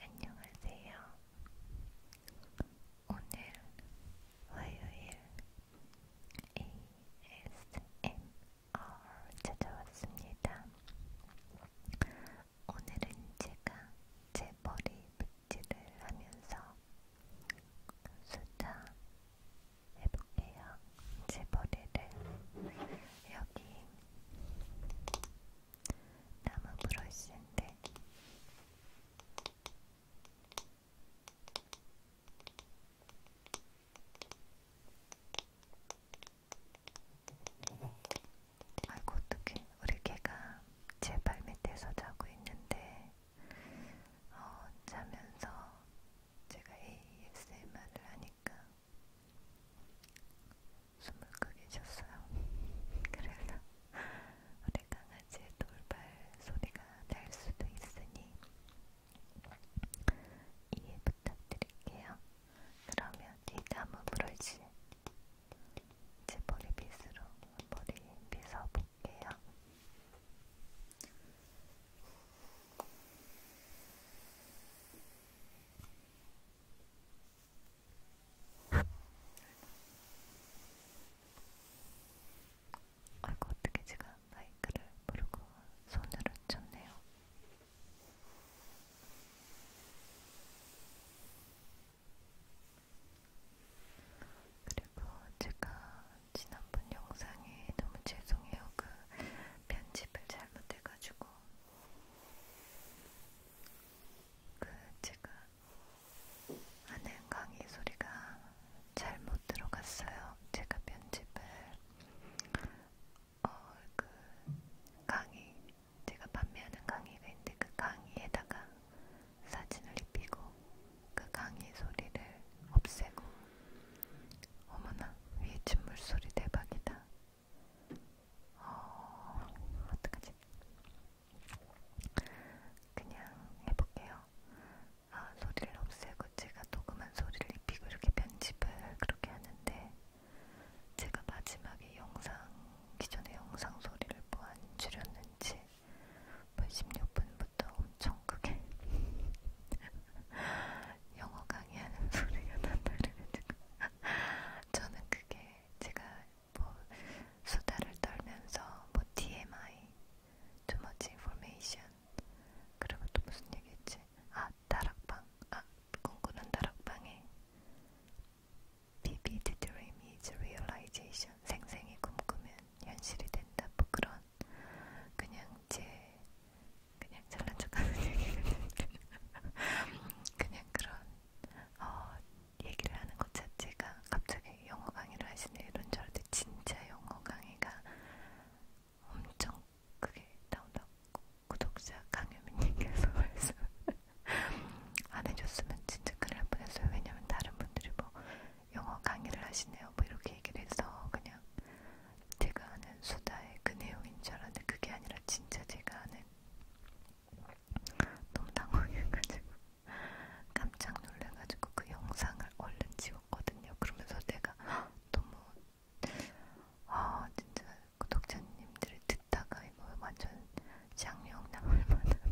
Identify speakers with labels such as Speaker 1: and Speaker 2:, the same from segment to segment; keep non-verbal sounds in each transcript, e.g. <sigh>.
Speaker 1: 안녕하세요. 오늘 화요일 ASMR 찾아왔습니다. 오늘은 제가 제 머리 빗질을 하면서 수다 해볼게요. 제 머리를 여기 나무 브러쉬인데 아이고 어떡해 우리 개가 제발 밑에서 자고 있는데 어, 자면서 제가 ASMR을 하니까 숨을 크게 쉬었어요. <laughs> 그래서 우리 강아지의 돌발 소리가 날 수도 있으니 이해 부탁드릴게요. 그러면 이 나무 브러쉬 제 머리빗으로 머리 빗어 볼게요. 아이고 어떻게 제가 마이크를 모르고 손으로 쳤네요. 그리고 제가 지난번 영상에 너무 죄송해요. 그 편집을 잘못해가지고 그 제가 하는 강의 소리가 잘못 들어갔어요. 제가 편집을 어 그 강의 제가 판매하는 강의가 있는데 그 강의에다가 사진을 입히고 그 강의 소리를 없애고 어머나 위에 침물 소리 대박이다. 어, 어떡하지? 그냥 해볼게요. 아, 소리를 없애고 제가 녹음한 소리를 입히고 이렇게 편집을 그렇게 하는데 제가 마지막에 영상, 기존의 영상 소리를 뭐 안 줄였는지 벌 뭐 16분부터 엄청 크게 <laughs> 영어 강의하는 소리가 난다르가지고 저는 그게 제가 뭐 수다를 떨면서 뭐 TMI, too much information, 그리고 또 무슨 얘기했지? 아 다락방, 아 꿈꾸는 다락방에 vivid dream is realization, 생생히 꿈꾸면 현실이 된다. 뭐 그런 그냥 제 그냥 잘난 척하는 <laughs> 얘기는 그냥 그런 어, 얘기를 하는 것 자체가 갑자기 영어 강의를 하시네 이런 줄 알았는데 진짜 영어 강의가 엄청 크게 다운받고 구독자 강유민님께서 <laughs> 말씀 안 해줬으면 진짜 큰일 날 뻔했어요. 왜냐면 다른 분들이 뭐 영어 강의를 하시네요. 뭐 이렇게 얘기를 해서 그냥 제가 아는 수다의 그 내용인 줄 알았는데 그게 아니라 진짜 제가 아는 봤는데 너무 당황해가지고 깜짝 놀래가지고 그 영상을 얼른 지웠거든요. 그러면서 내가 너무 아 진짜 구독자님들이 듣다가 이거 뭐 완전 장명남을 만한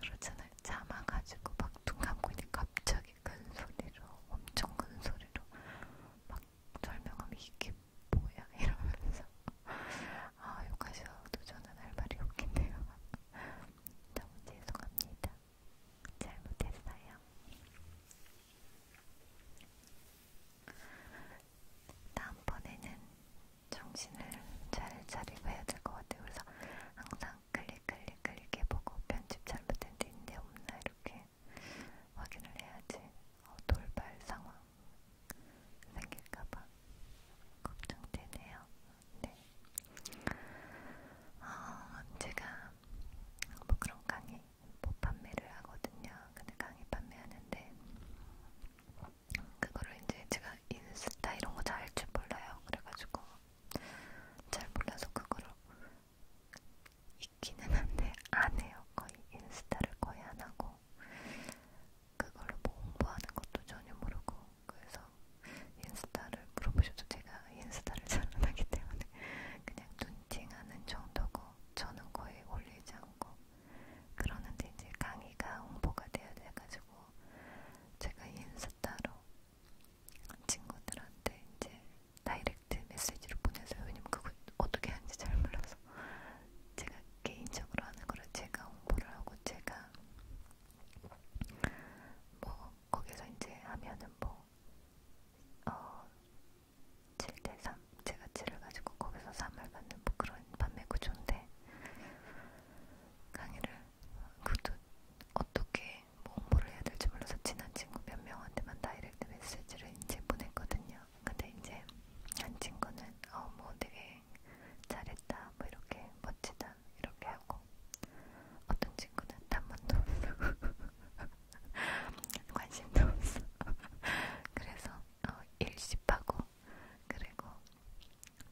Speaker 1: 그렇잖아요. 참아가지고 막눈 감고 있는데 갑자기 큰 소리로 엄청 큰 소리로 막 설명하면 이게 뭐야 <laughs> 이러면서 아 욕하셔도 저는 할 말이 없긴데요 <laughs> 너무 죄송합니다 잘못했어요 다음번에는 정신을 잘 차리고 해야 될 것 같아요 그래서 항상 클릭 클릭 클릭해보고 편집 잘못된 데 있는데 없나 이렇게 확인을 해야지 어, 돌발 상황 생길까봐 걱정되네요. 네. 어, 제가 뭐 그런 강의 뭐 판매를 하거든요. 근데 강의 판매하는데 그거를 이제 제가 인스타 이런 거잘줄 몰라요. 그래가지고 잘 몰라서 그거를 있기는 한데 안 해요. 거의 인스타를 거의 안 하고 그걸로 뭐 홍보하는 것도 전혀 모르고 그래서 인스타를 물어보셔도 제가 인스타를 잘 안 하기 때문에 그냥 눈팅하는 정도고 저는 거의 올리지 않고 그러는데 이제 강의가 홍보가 돼야 돼가지고 제가 인스타로 친구들한테 이제 다이렉트 메시지로 보내서 왜냐면 그거 어떻게 하는지 잘 몰라서 제가 개인적으로 하는 거라 제가 홍보를 하고 제가 뭐 거기서 이제 하면은 뭐 어, 7대3 제가 7을 가지고 거기서 3을 받는 뭐 그런 판매 구조인데 강의를 그것도 어떻게 뭐 홍보를 해야 될지 몰라서 친한 친구 몇 명한테만 다이렉트 메시지를 이제 보냈거든요. 근데 이제 한 친구는 어 뭐 되게 잘했다 뭐 이렇게 멋지다 이렇게 하고 어떤 친구는 단번도 없어 <laughs> 관심도 없어 <laughs> 그래서 어, 일십하고 그리고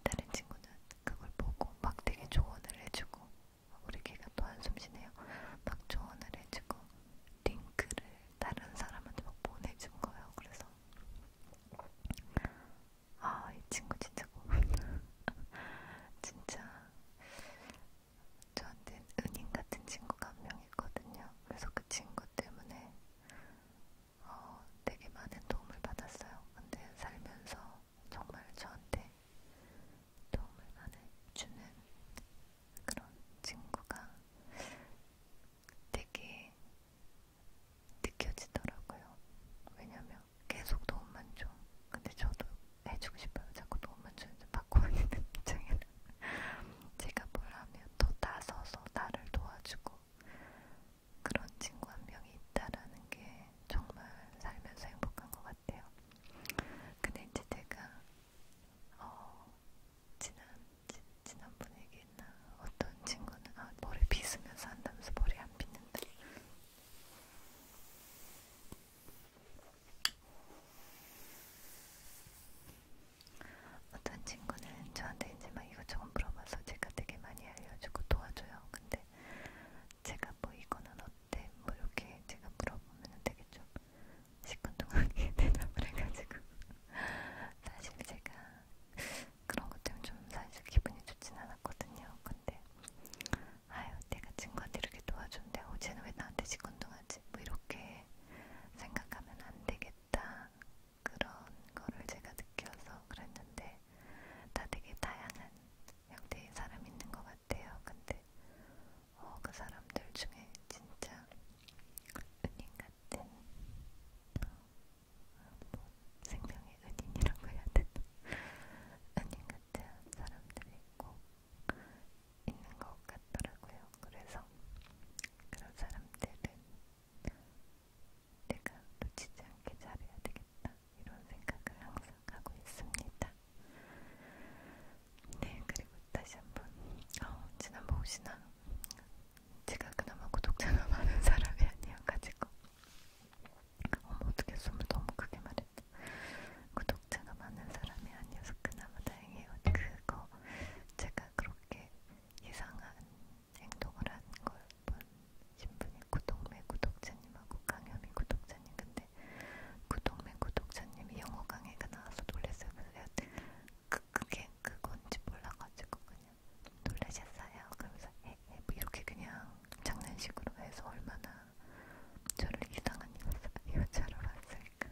Speaker 1: 다른 친구는 그걸 보고 막 되게 조언을 해주고 우리 걔가 또 한숨 쉬네요 막 조언을 해주고 링크를 다른 사람한테 막 보내준 거예요. 그래서 아, 이 친구 진짜 고맙다. <laughs> 진짜 저한테 은인 같은 친구가 한 명 있거든요. 그래서 그 친구 때문에 어, 되게 많은 도움을 받았어요. 근데 살면서 정말 저한테 도움을 많이 주는 그런 친구가 되게 느껴지더라고요. 왜냐면 계속 도움만 줘. 근데 저도 해주고 싶어요. 자꾸 도움만 주는데 받고 있는 입장이라 제가 뭘 하면 더 나서서 나를 도와주고 그런 친구 한 명이 있다라는 게 정말 살면서 행복한 것 같아요. 근데 이제 제가 어, 지난 지, 지난번에 얘기했나? 어떤 친구는 아, 머리 빗으면서 한다면서 머리 안 빗는다. 어떤 친구는 저한테 이제 막 이것저것 물어봐서 제가 되게 많이 알려주고 도와줘요. 근데 제가 뭐 이거는 어때? 뭐 이렇게 제가 물어보면 되게 좀 시큰둥하게 <laughs> 대답을 해가지고 사실 제가 그런 것 때문에 좀 사실 기분이 좋진 않았거든요. 근데 아유 내가 친구한테 이렇게 도와줬는데 어제는 왜 나한테 시큰둥하지? 뭐 이렇게 생각하면 안 되겠다 그런 거를 제가 느껴서 그랬는데 다 되게 다양한 형태의 사람이 있는 것 같아요. 근데 어, 그 사람들 중에 진짜 은인 같은 어, 뭐 생명의 은인이라고 해야 되나? 은인 같은 사람들이 있고 있는 것 같더라고요. 그래서 그런 사람들은 내가 놓치지 않게 잘해야 되겠다 이런 생각을 항상 하고 있습니다. 네, 그리고 다시 한번 어, 지난번 혹시나 제가 그나마 구독자가 <laughs> 많은 사람이 아니어가지고 어머 어떻게 숨을 너무 크게 말했다 구독자가 많은 사람이 아니어서 그나마 다행이에요 그거 제가 그렇게 이상한 행동을 한 걸본 신분이 구독맨 구독자님하고 강현미 구독자님 근데 구독맨 구독자님이 영어 강의가 나와서 놀랐어요 그래서 그, 그게 그건지 몰라가지고 그냥 놀라셨어요. 그러면서 에, 에, 뭐 이렇게 그냥 장난식으로 해서 얼마나 저를 이상한 여자, 여자로 봤을까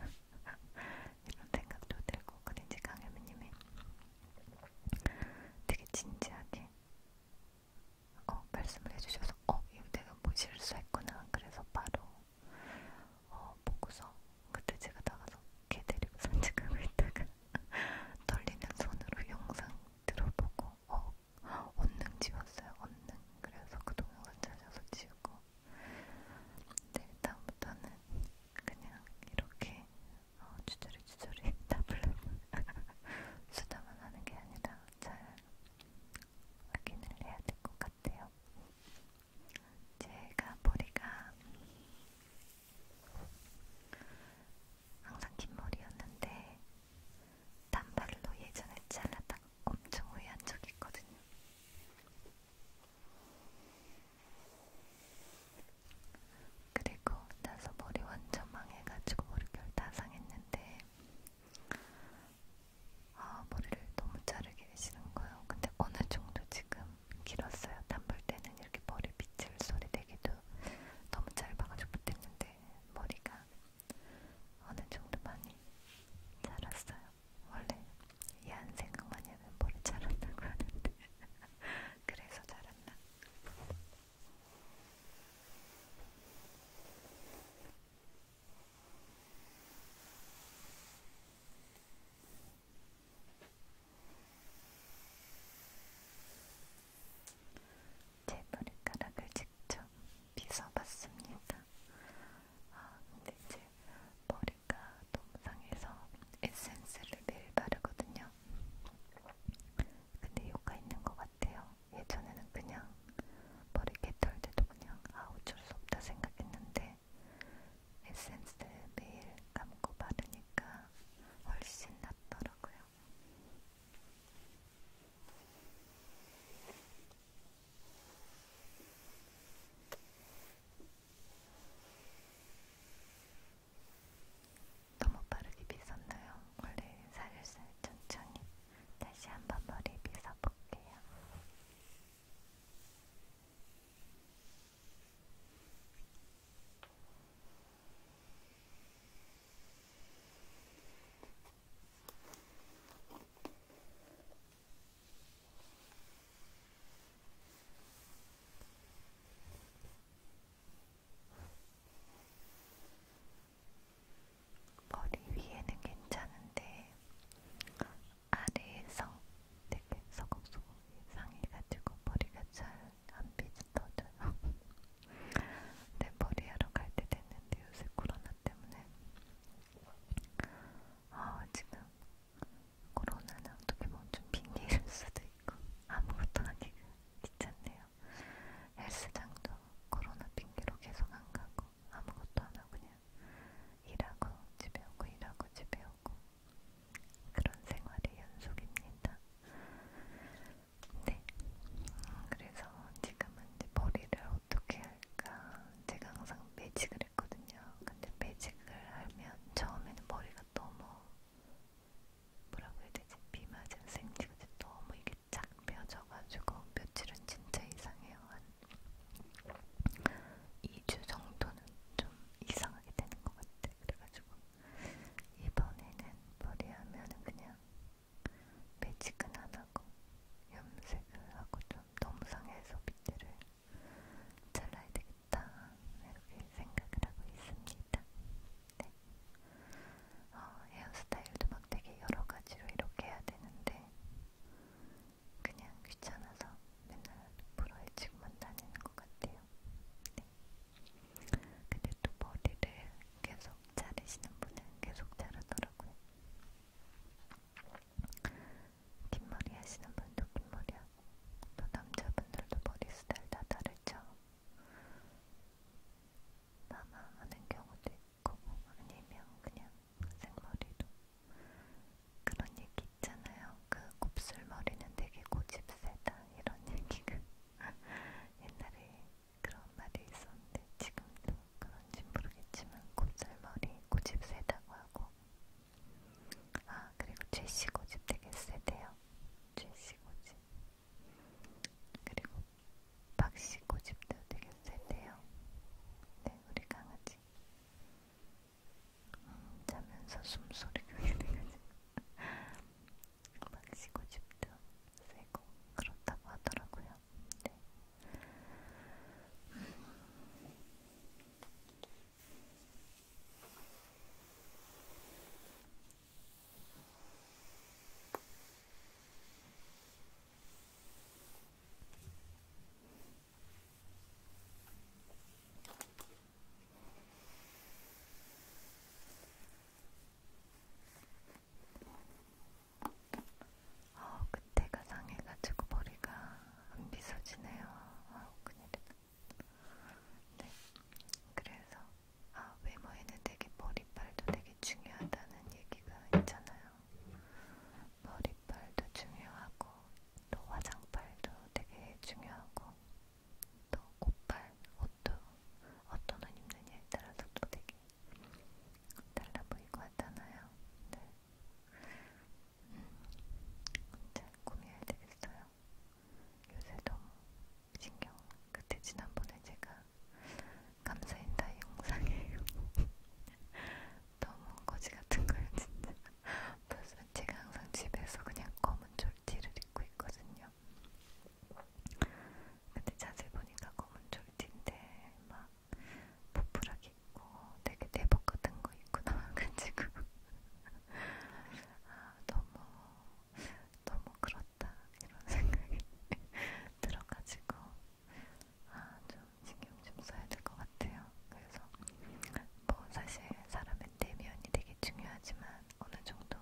Speaker 1: 이런 생각도 들고 근데 이제 강혜미님이 되게 진지하게 어 말씀을 해주셔서 어 이거 내가 뭐 실수했구나 그래서 바로 어, 보고서 그때 제가 나가서 개 데리고 산책하고 있다가 <laughs> 떨리는 손으로 영상 들어보고 어, 언능 지웠어요, 언능. 그래서 그 동영상 찾아서 지우고 근데 다음부터는 그냥 이렇게 어, 주저리주저리 <laughs> 답을 <laughs> 수다만 하는 게 아니라 잘 확인을 해야 될 것 같아요. 제가 머리가 항상 긴 머리였는데 단발로 예전에 잘랐다 엄청 후회한 적이 있거든요. 그리고 나서 머리 완전 망해가지고 머릿결 다 상했는데 아, 머리를 너무 자르기 싫은거요. 근데 어느 정도 지금 길었어요. 담볼 때는 이렇게 머리 빗질 소리 되기도 너무 짧아가지고 못했는데 머리가 어느 정도 많이 자랐어요. 원래 이한 생각만 해면 머리 자랐다고 하는데 <laughs> 그래서 자랐나? 제 머리카락을 직접 빗어봤습니다. 아, 근데 이제 머리가 너무 상해서 에센스를 매일 바르거든요. 근데 효과 있는 것 같아요. 예전에는 그냥 머리 개털 때도 그냥 아 어쩔 수 없다 생각했는데 에센스를 매일 감고 바르니까 훨씬 낫더라고요. 너무 빠르게 빗었나요? 원래 살살 천천히 다시 한번 머리 빗어볼게요. 머리 위에는 괜찮은데 아래에서 되게 서걱서걱 상해가지고 머리가 잘안 빗어져요. 내 머리하러 갈 때 됐는데 요새 코로나 때문에 아 지금 코로나는 어떻게 보면 좀 핑계일 수도 있고 아무것도 하기가 귀찮네요. 헬스장도 코로나 핑계로 계속 안 가고 아무것도 안 하고 그냥 일하고 집에 오고 일하고 집에 오고 그런 생활의 연속입니다. 네, 그래서 지금은 이제 머리를 어떻게 할까 제가 항상 매직을 했거든요. 근데 매직을 하면 처음에는 머리가 너무 뭐라고 해야 되지? 비 맞은 생지가 너무 이게 쫙 펴져가지고 며칠은 진짜 이상해요. 한 2주 정도는 좀 이상하게 되는 것 같아. 그래가지고 이번에는 머리 하면은 그냥 매직은 안 하고 염색을 하고 좀 너무 상해서 밑에를 잘라야 되겠다. 이렇게 생각을 하고 있습니다. 네. 어, 헤어스타일도 막 되게 여러 가지로 이렇게 해야 되는데 그냥 귀찮아서 맨날 프로에치고만 다니는 것 같아요. 네. 근데 또 머리를 계속 자르시는 분은 계속 자르더라고요. 긴 머리 하시는 분도 긴 머리하고 또 남자분들도 머리 스타일 다 다르죠. 나만 하는 경우도 있고 아니면 그냥 생머리도 그런 얘기 있잖아요. 그 곱슬머리는 되게 고집세다 이런 <laughs> 얘기가 옛날에 그런 말이 있었는데 지금도 그런지 모르겠지만 곱슬머리 고집세다고 하고 아 그리고 제시 고집 되게 세대요. 제시 고집 그리고 박씨 고집도 되게 세대요. 네, 우리 강아지. 자면서 숨소리가 들려가지고 막 쉬고 싶도 세고 그렇다고 하더라고요. 네. 음. 어, 그때가 상해가지고 머리가 안 빗어지네요. 아우, 큰일이다. 네. 그래서, 아, 외모에는 되게 머리빨도 되게 중요하다는 얘기가 있잖아요. 머리빨도 중요하고 또 화장빨도 되게 중요하고 또 옷빨, 옷도 어떤 옷 입느냐에 따라서 또 되게 달라 보이고 하잖아요. 네. 음, 잘 꾸며야 되겠어요. 요새 너무 신경. 그때 지난번에 제가 감사인다 영상에 너무 거지 같은 거예요 진짜. <laughs> 벌써 제가 항상 집에서 그냥 검은 졸지를 입고 있거든요. 근데 자세히 보니까 검은 졸지인데 막 부풀하게 입고 되게 대복 같은 거 입고 나와가지고 <laughs> 아 너무 너무 그렇다 이런 <laughs> 생각이 들어가지고 아좀 신경 좀 써야 될 것 같아요. 그래서 뭐 사실 사람의 내면이 되게 중요하지만 어느 정도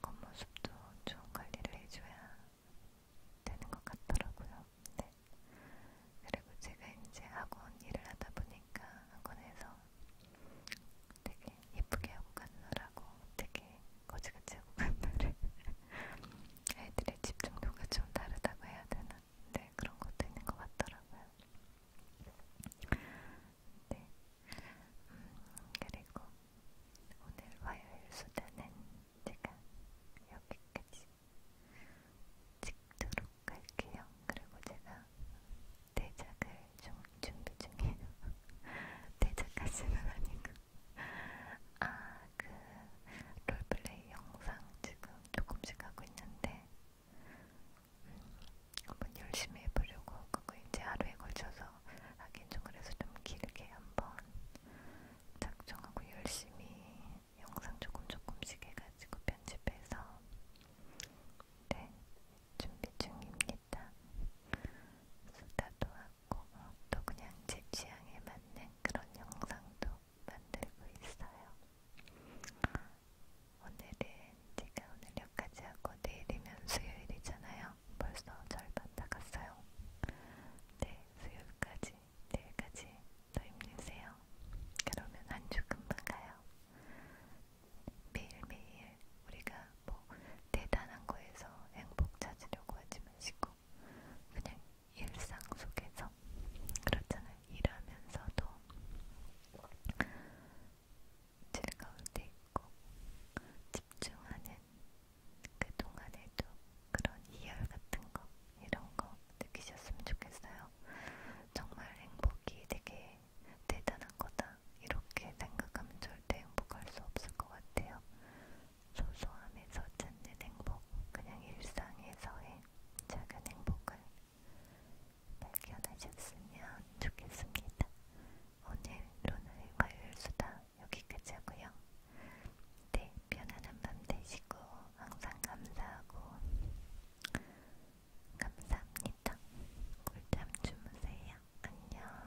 Speaker 1: 겉모습도 좀 관리를 해줘야 되는 것 같더라고요. 네. 그리고 제가 이제 학원 일을 하다 보니까 학원에서 되게 예쁘게 하고 가느라고 되게 거지같이 하고 가느라 <laughs> 애들의 집중도가 좀 다르다고 해야 되나? 네, 그런 것도 있는 것 같더라고요. 네, 음, 그리고 오늘 화요일 수다는 제가 여기까지 찍도록 할게요. 그리고 제가 대작을 좀 준비 중이에요. <laughs> 대작까지는 아니고. 아, 그 롤플레이 영상 지금 조금씩 하고 있는데 음, 한번 열심히 해보려고 그거 이제 하루에 걸쳐서 하긴 좀 그래서 좀 길게 한번 작정하고 열심히 영상 조금 조금씩 해가지고 편집해서 네 준비 중입니다. 수다도 하고 어, 또 그냥 제 취향에 맞는 그런 영상도 만들고 있어요. 오늘은 제가 오늘 여기까지 하고 내일이면 수요일이잖아요. 벌써 절반 다 갔어요. 네, 수요일까지, 내일까지 더 힘내세요. 그러면 한 주 금방 가요. 매일매일 우리가 뭐 대단한 거에서 행복 찾으려고 하지 마시고 그냥 일상 속에서 그렇잖아요. 일하면서도 즐거울 때 있고 집중하는 그 동안에도 그런 이열 같은 거 이런 거 느끼셨으면 좋겠어요. 정말 행복이 되게 대단한 거다 이렇게 생각하면 절대 행복할 수 없을 것 같아요. 소소함에서 찾는 행복, 그냥 일상에서의 작은 행복을 발견하셨으면 좋겠습니다. 오늘 로나의 화요일 수다 여기까지 하고요. 네, 편안한 밤 되시고 항상 감사하고 감사합니다. 꿀잠 주무세요. 안녕.